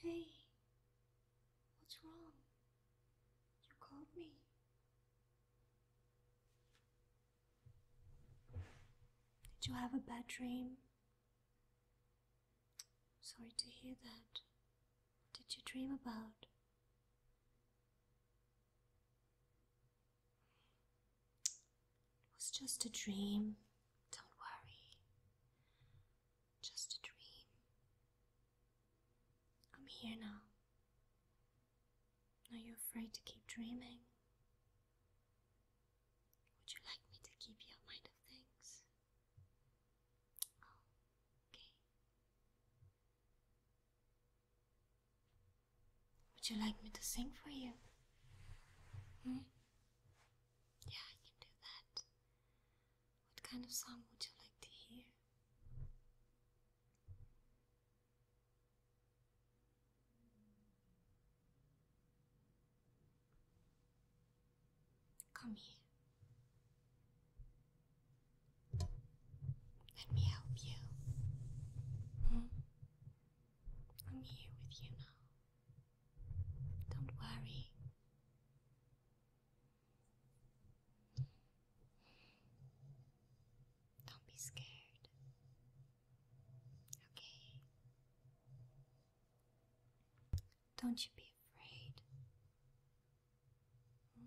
Hey, what's wrong? You called me. Did you have a bad dream? Sorry to hear that. did you dream about? It was just a dream. Don't worry. Just a dream. I'm here now. Are you afraid to keep dreaming? Would you like me to keep your mind of things? Oh, okay. Would you like me to sing for you? Hmm? Yeah, I can do that. What kind of song would you like to hear? Come here. Let me help you. Hmm? I'm here with you now. Don't worry. Don't be scared. Okay? Don't you be afraid. Hmm?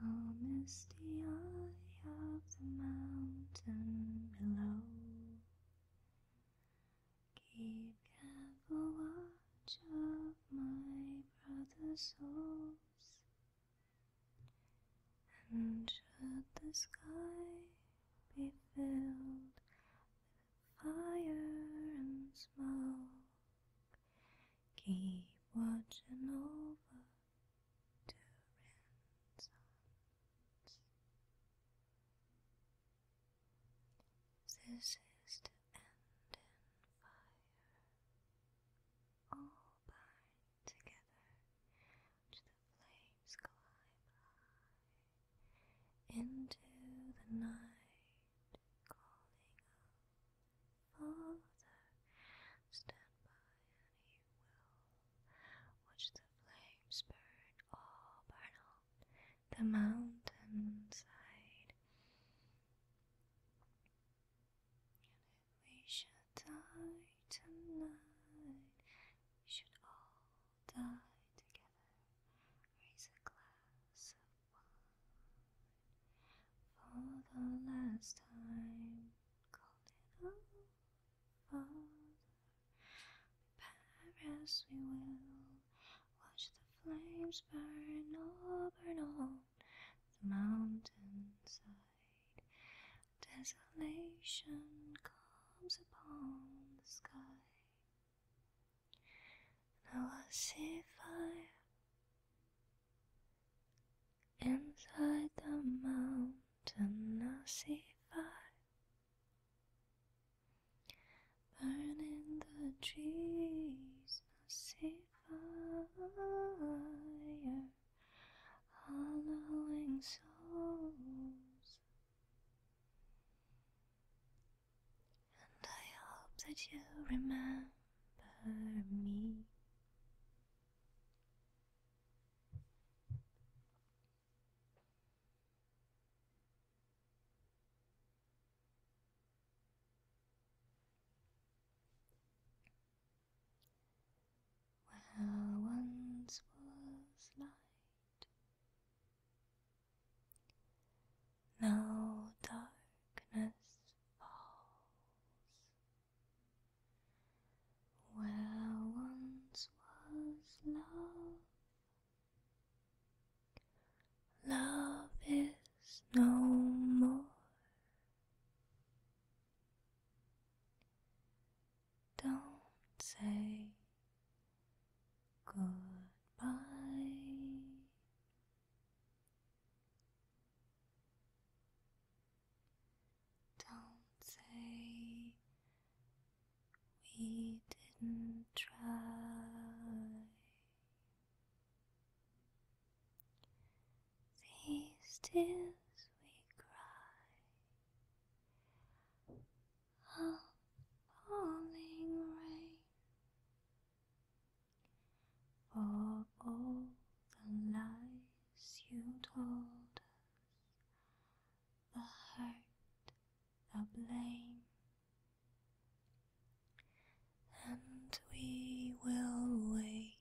Almost the eye of the mountain below. Keep careful watch of my brother's souls, and should the sky be filled with fire and smoke, keep watching over to This is to end in fire. All bind together the flames climb high into the night, calling up father. Stand by and will watch the flames burn. all burn on the mountainside. And if we should die tonight, we should all die together. Raise a glass of wine. For the last time, call it all Father. Paris, we will watch the flames burn, all burn on the mountainside. Desolation comes upon the sky. Now I see fire Inside the mountain I see fire Burning the trees I see fire Hollowing souls And I hope that you remember per me. Where once was light, now darkness where once was love, love is no more. Don't say goodbye don't say we didn't try. These tears we cry are falling rain. For all the lies you told us, the hurt, the blame, and we will wait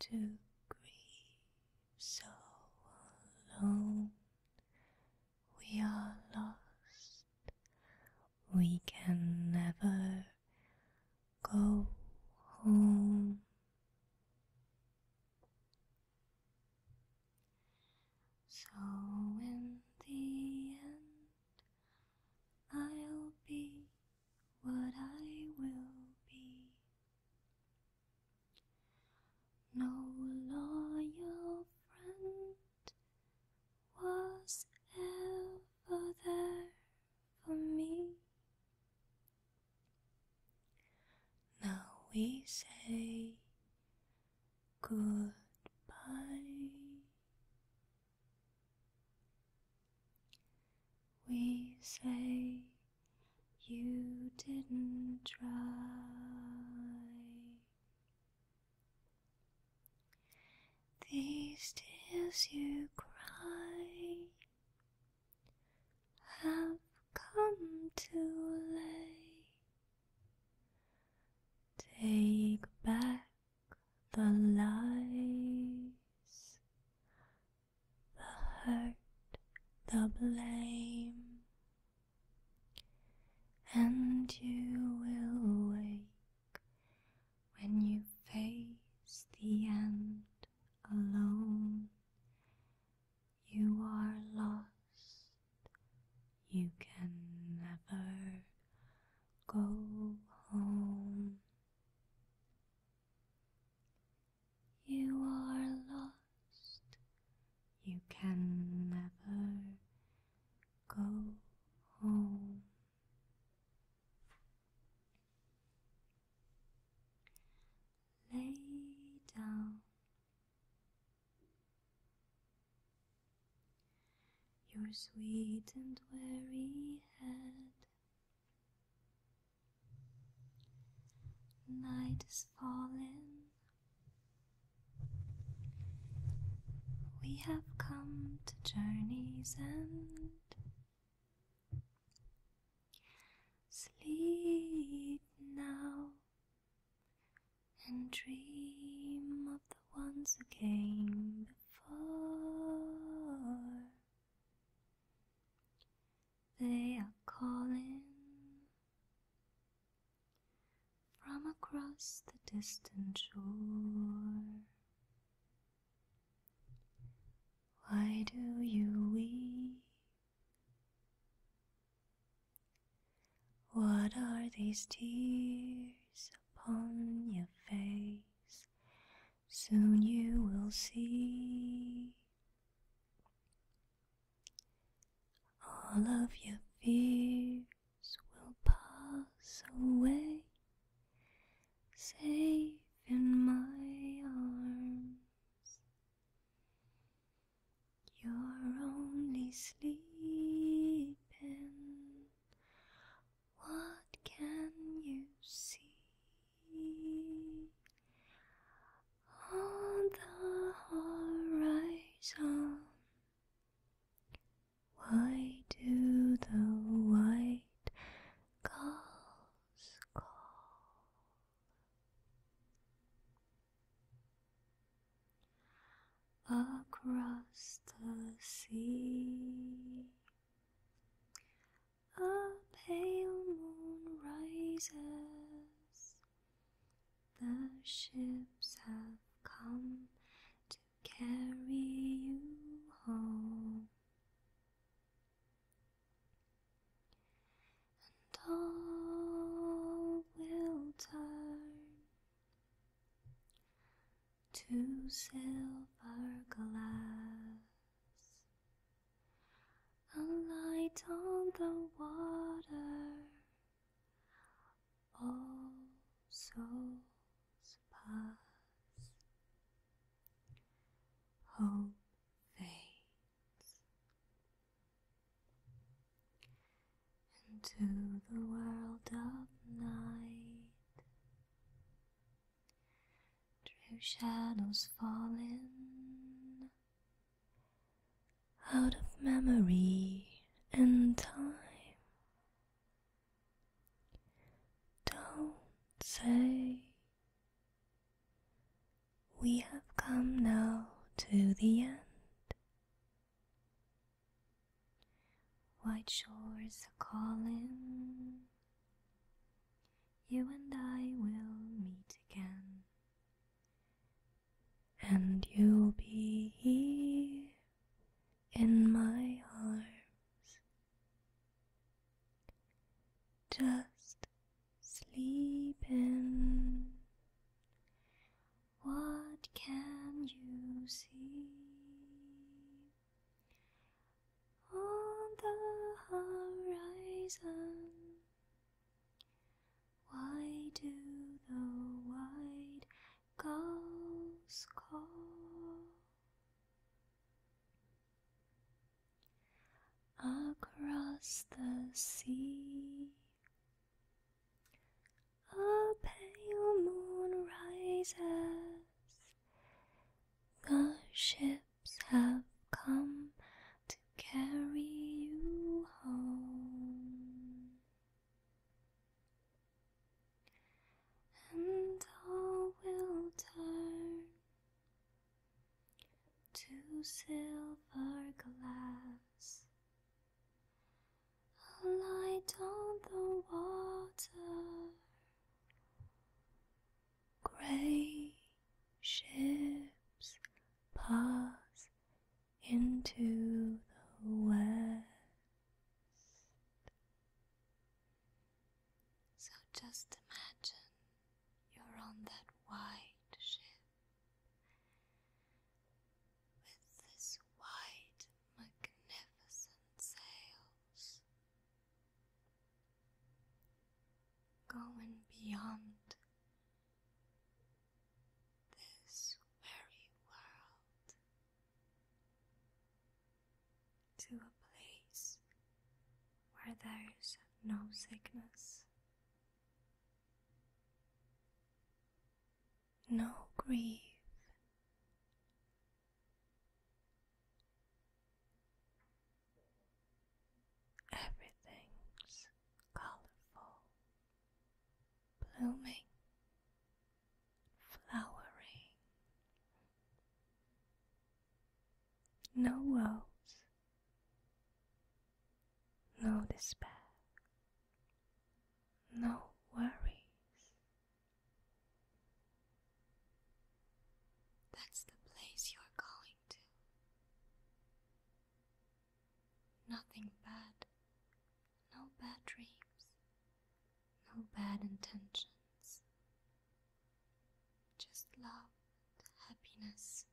to grieve so alone. We are lost, we can never go home. So, in the end, I'll be what I will be. No loyal friend was ever there for me. Now we say goodbye. We say you didn't try. These tears you cry have come too late. Take back the lies, the hurt, the blame, and you will wake when you face the end alone, you are lost. You can never go home. You are lost. You can never go home. Lay down. Your sweet and weary head. Night is falling, we have come to journey's end. Sleep now and dream of the ones who came before. They are calling from across the distant shore. Why do you weep? What are these tears upon your face? Soon you will see all of your fears will pass away, safe in my arms. You're only sleeping. What can you see? On the horizon, why do the white gulls call? Across the sea, a pale moon rises the ships have come to carry you home, and all will turn to silver glass. A light on the water all souls pass, hope fades into the world of night, through shadows falling out of memory and time. Don't say we have come now to the end. White shores are calling. You and I will meet again and you'll be here in my arms. Just sleeping. What can you see on the horizon? Why do the white gulls call across the sea? A pale moon rises. The ships have come to carry you home. And all will turn to silver glass, a light on the water, grey ships pass into the west. So just imagine you're on that white ship with this white, magnificent sails going beyond this weary world to a place where there is no sickness, no grief. Everything's colorful, blooming, flowering. No woes, no despair, no worries. That's the place you're going to. Nothing bad, no bad dreams, no bad intentions, just love and happiness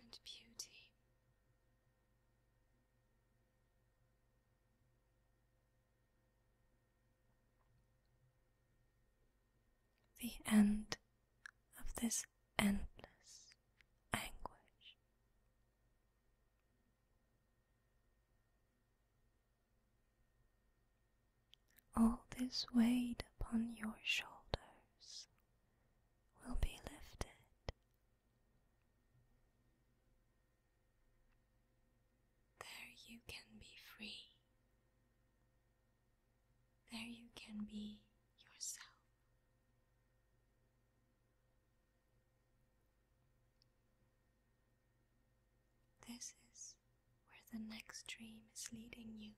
and beauty the end of this endless anguish. All this weight upon your shoulders will be lifted. There you can be free. There you can be yourself. This is where the next dream is leading you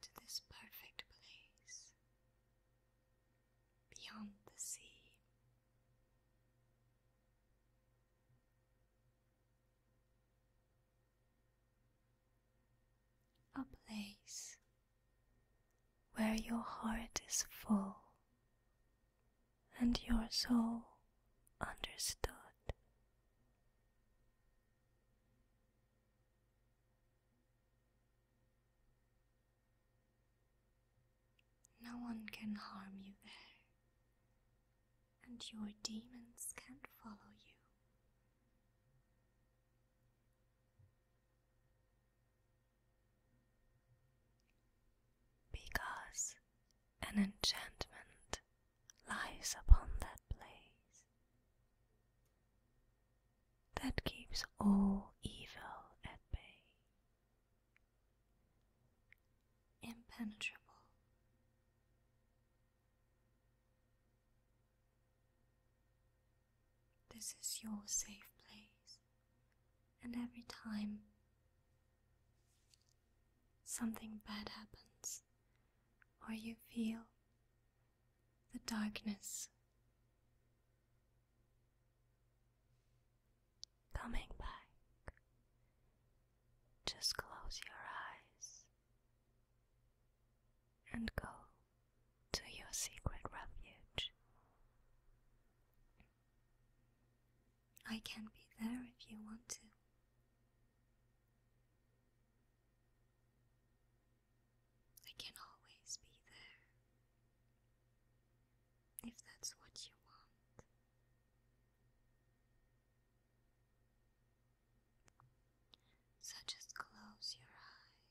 to this perfect place beyond the sea a place where your heart is full and your soul understood. No one can harm you there and your demons can't follow you. Because an enchantment lies upon that place that keeps all evil at bay impenetrable. This is your safe place, and every time something bad happens, or you feel the darkness coming back. Just close your eyes and go to your secret refuge. I can be there if you want to. I can always be there if that's what you want. So just close your eyes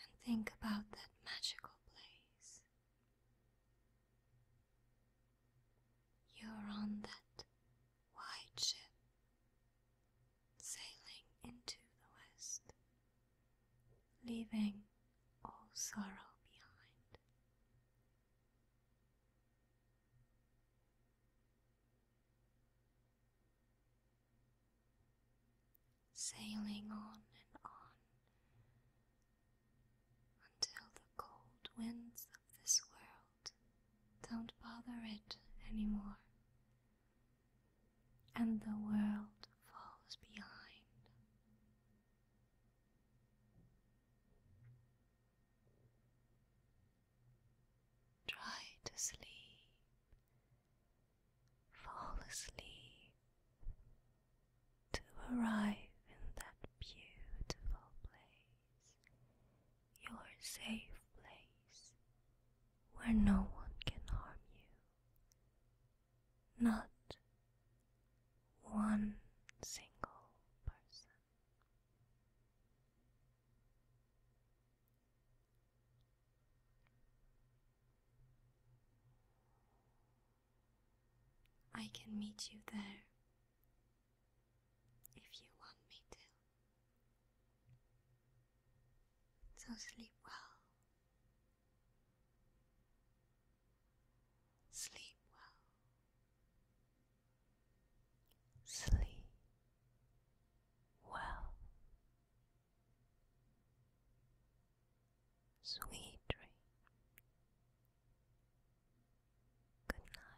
and think about that magical place. You're on that white ship sailing into the west leaving all sorrow behind. Sailing on and on until the cold winds of this world don't bother it anymore and the world falls behind. Try to sleep, fall asleep to arrive in that beautiful place, your safe place where no one can harm you not one single person. I can meet you there if you want me to. So sleep well Sleep well. Sleep well. Sweet dream. Good night.